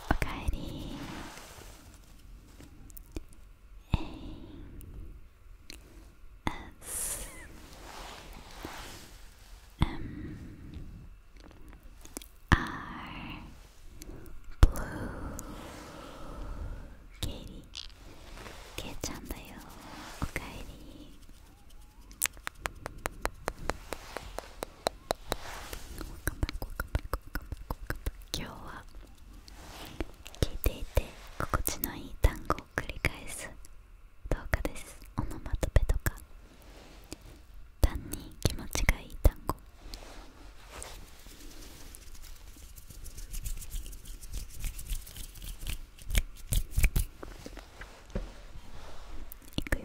おかえりえいあすうんあブルーケイケイちゃんだよおかえり今日は聞いていて心地のいい単語を繰り返す動画ですオノマトペとか単に気持ちがいい単語いくよ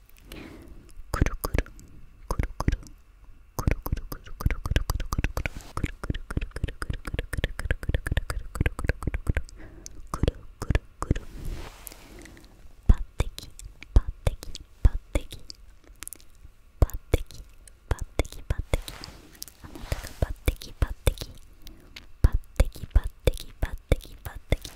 くるくるくるくるくるくるくるくるくるくるくるくるくるくるくるくるくるくるパッテキパッテキパッテキパッテキパッテキパッテキあなたがパッテキパッテキパッテキパッテキパテキパッテキ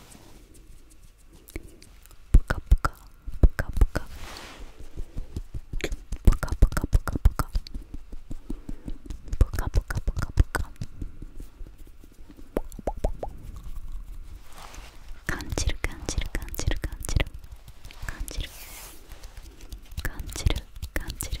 ぷかぷかぷかぷかぷかぷかぷかぷかぷかぷかぷかぷか感じる感じる感じる感じる感じる感じる感じる感じる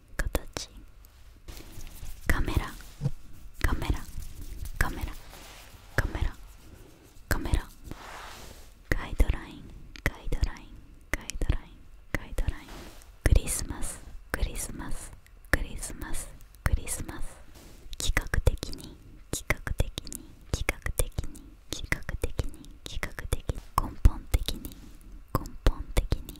形カメラカメラカメラカメラカメラガイドラインガイドラインガイドラインガイドラインクリスマスクリスマスクリスマスクリスマス企画的に企画的に企画的に企画的に企画的に根本的に根本的に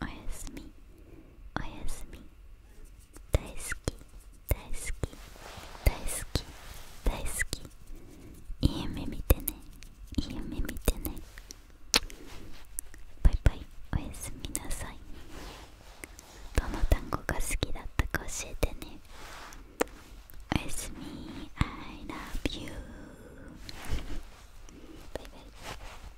おやすみおやすみ大好き大好き大好き大好きいい夢見てねいい夢見てねバイバイおやすみなさいどの単語が好きだったか教えてねおやすみ I love you バイバイ